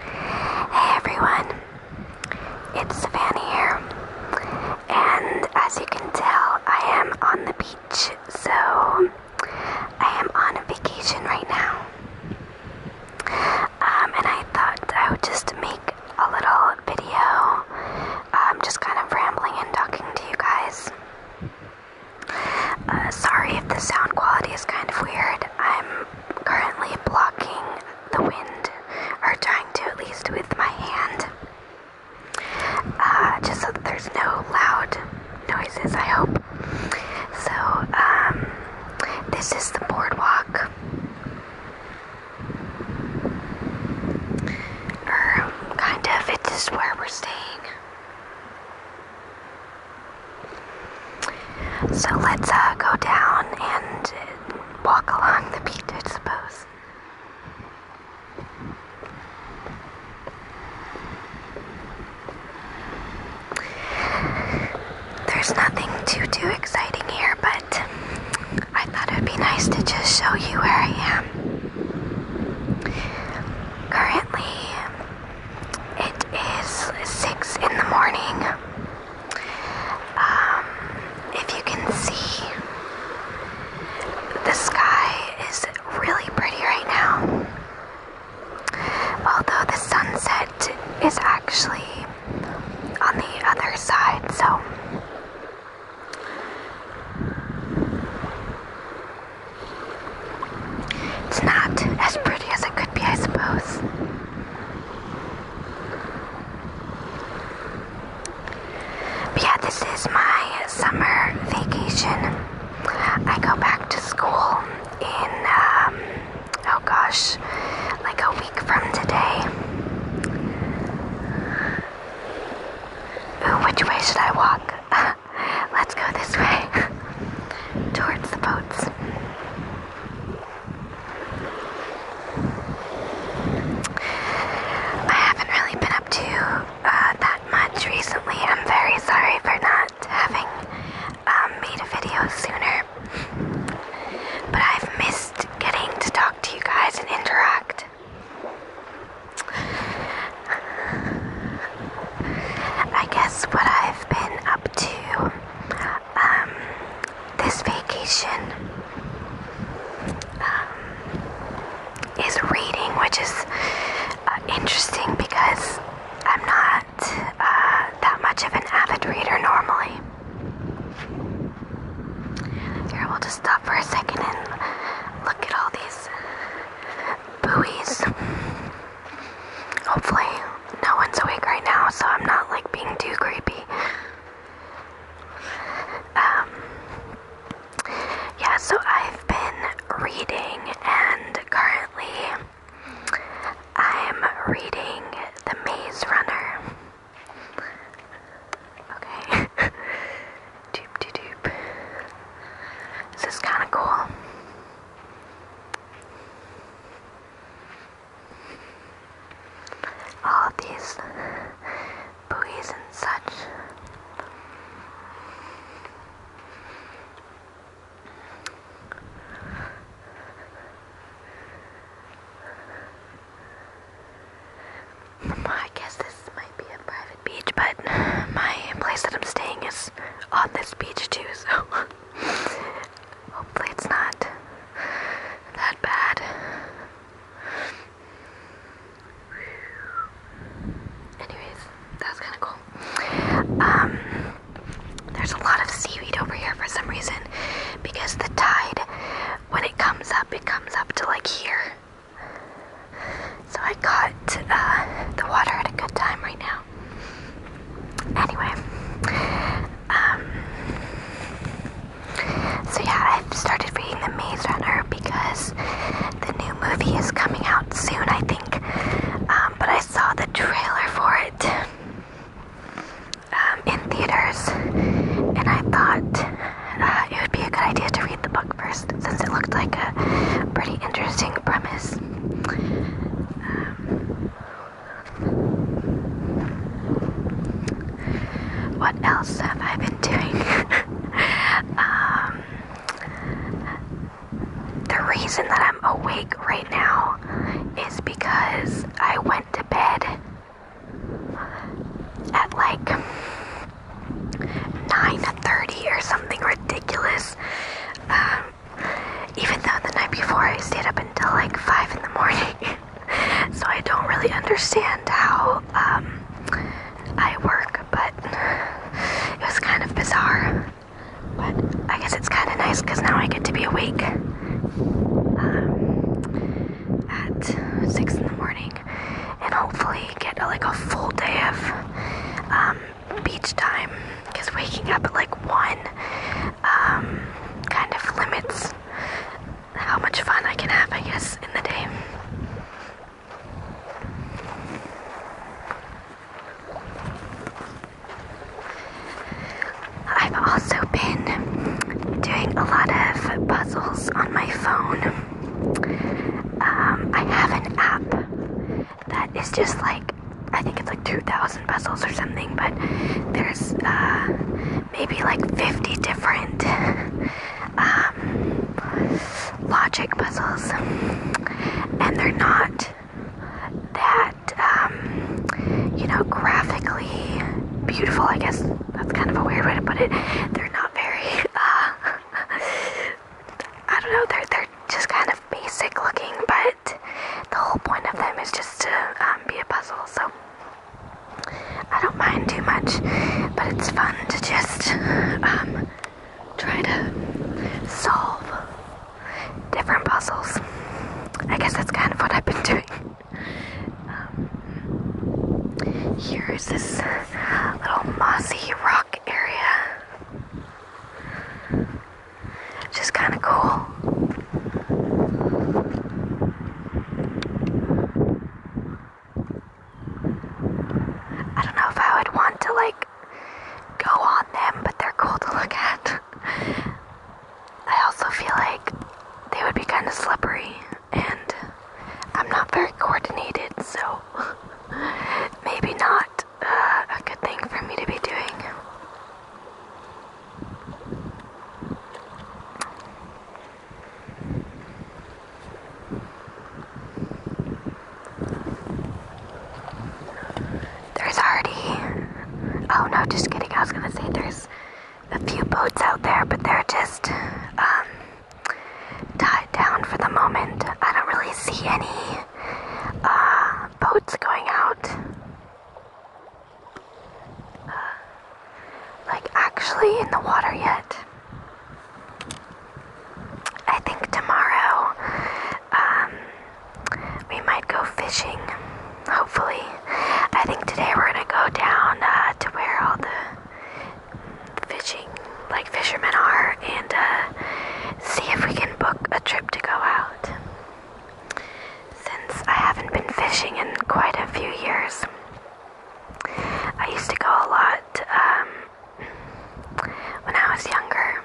Hey everyone, it's Savannah here, and as you can tell, I am on the beach, so I am on a vacation right now. Um, and I thought I would just make a little video, I'm um, just kind of rambling and talking to you guys. Uh, sorry if the sound quality is kind of weird. I'm currently blocking the wind, or trying to at least with my hand. Uh, just so there's no loud noises, I hope. So, um, this is the boardwalk. Or, er, kind of, it is where we're staying. So let's uh, go down and walk along the beach, I suppose. There's nothing too too exciting here, but I thought it would be nice to just show you where I am. Currently, it is six in the morning. Um, if you can see, the sky is really pretty right now. Although the sunset is actually on the other side, so it's not as pretty as it could be, I suppose. But yeah, this is my summer vacation. I go back to school in, um, oh gosh, like a week from today. which way should I walk? Let's go this way towards the boats. I haven't really been up to uh, that much recently. I'm very sorry for not having um, made a video sooner. But I've missed getting to talk to you guys and interact. I guess what I've been up to um, this vacation um, is reading, which is uh, interesting because I'm not uh, that much of an avid reader normally. Here, we'll just stop for a second and look at all these buoys. Hopefully, no one's awake right now, so I'm not like being too creepy. Um, yeah, so I've been reading, and currently I'm reading The Maze Runner. Okay. doop doop doop. This is kind of cool. All these buoys and such. I guess this might be a private beach, but my place that I'm staying is on this beach too, so hopefully it's not that bad. Anyways, that was kind of cool. Um, there's a lot of seaweed over here for some reason because the tide, when it comes up, it comes up to like here. So I got uh, the water at a good time right now. Anyway, um, so yeah, I've started reading The Maze Runner because the new movie is coming out soon, I think. Um, but I saw the trailer for it um, in theaters, and I thought uh, it would be a good idea to read the book first since it looked like a pretty interesting premise. Um, what else have I been doing? Um, the reason that I'm awake right now is because I went to bed at like 9.30 or something ridiculous. Um, even though the night before I stayed up until like 5 in the morning. so I don't really understand how um, I work, but it was kind of bizarre. But I guess it's kind of nice because now I get to be awake. Um, at 6 in the morning and hopefully get like a full day of um, beach time because waking up at like 1 um, kind of limits how much fun I can have, I guess, in the day. I've also been doing a lot of puzzles on my phone. Um, I have an app that is just like, I think it's like 2,000 puzzles or something, but there's uh, maybe like 50 different um, logic puzzles, and they're not that um, you know, graphically beautiful. I guess that's kind of a weird way to put it. They're not very. Uh, I don't know. They're they're just kind of basic looking, but the whole point of them is just to um, be a puzzle. So. I don't mind too much, but it's fun to just um, try to solve different puzzles. I guess that's kind of what I've been doing. Um, here is this little mossy rock area, Just kind of cool. I don't know if I would want to like go on them, but they're cool to look at. I also feel like they would be kind of slippery, and I'm not very coordinated, so maybe not uh, a good thing for me to be doing. There's already. Oh no, just kidding. I was gonna say there's a few boats out there, but they're just um, tied down for the moment. I don't really see any uh, boats going out. Uh, like actually in the water yet. I think tomorrow um, we might go fishing, hopefully. I think today we're gonna go down uh, to where all the fishing, like fishermen are, and uh, see if we can book a trip to go out. Since I haven't been fishing in quite a few years, I used to go a lot um, when I was younger.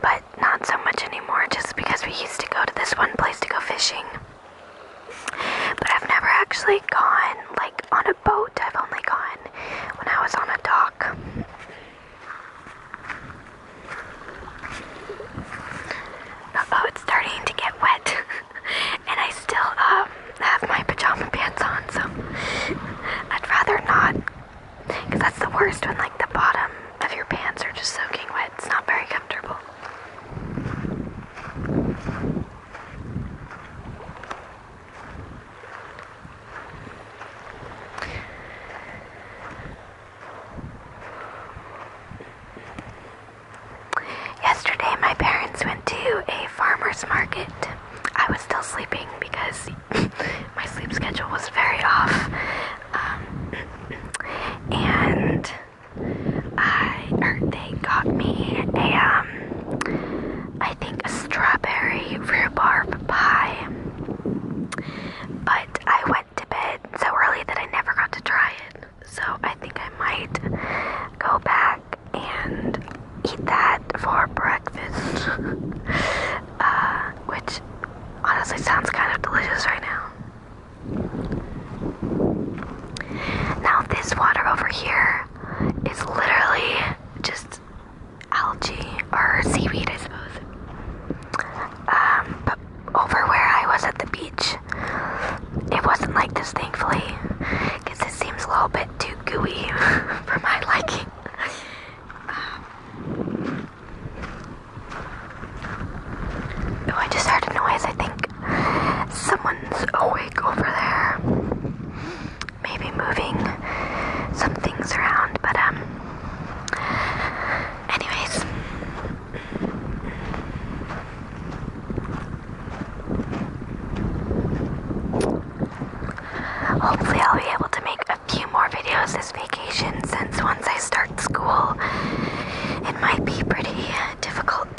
But not so much anymore just because we used to go to this one place to go fishing. But I've never actually gone like on a boat. I've only gone when I was on a dock. Oh, it's starting to get wet. and I still um have my pajama pants on, so I'd rather not because that's the worst when, like, the bottom of your pants are just soaking wet. It's not very comfortable. Yesterday, my parents went to a farmer's market. I was still sleeping because my sleep schedule was very off. Um, and they got me a, um, I think a strawberry rhubarb pie. But I went to bed so early that I never got to try it. So I think I might go back and eat that for breakfast, uh, which honestly sounds kind of delicious right now. Now, this water over here is literally just algae or seaweed, I suppose. Um, but over where I was at the beach, it wasn't like this, thankfully, because it seems a little bit too too gooey for my liking. Um, oh, I just heard a noise. I think someone's awake over there. Maybe moving some things around, but um. Anyways, Hopefully I'll be able to make a few more videos this vacation since once I start school, it might be pretty uh, difficult,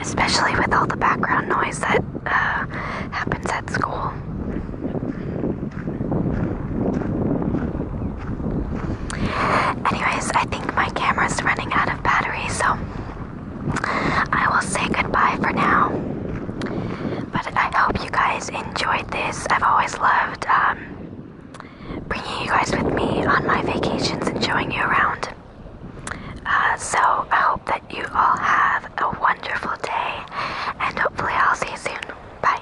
especially with all the background noise that uh, happens at school. Anyways, I think my camera's running out of battery, so I will say goodbye for now. But I hope you guys enjoyed this. I've always loved um, bringing you guys with me on my vacations and showing you around. Uh, so I hope that you all have a wonderful day, and hopefully, I'll see you soon. Bye.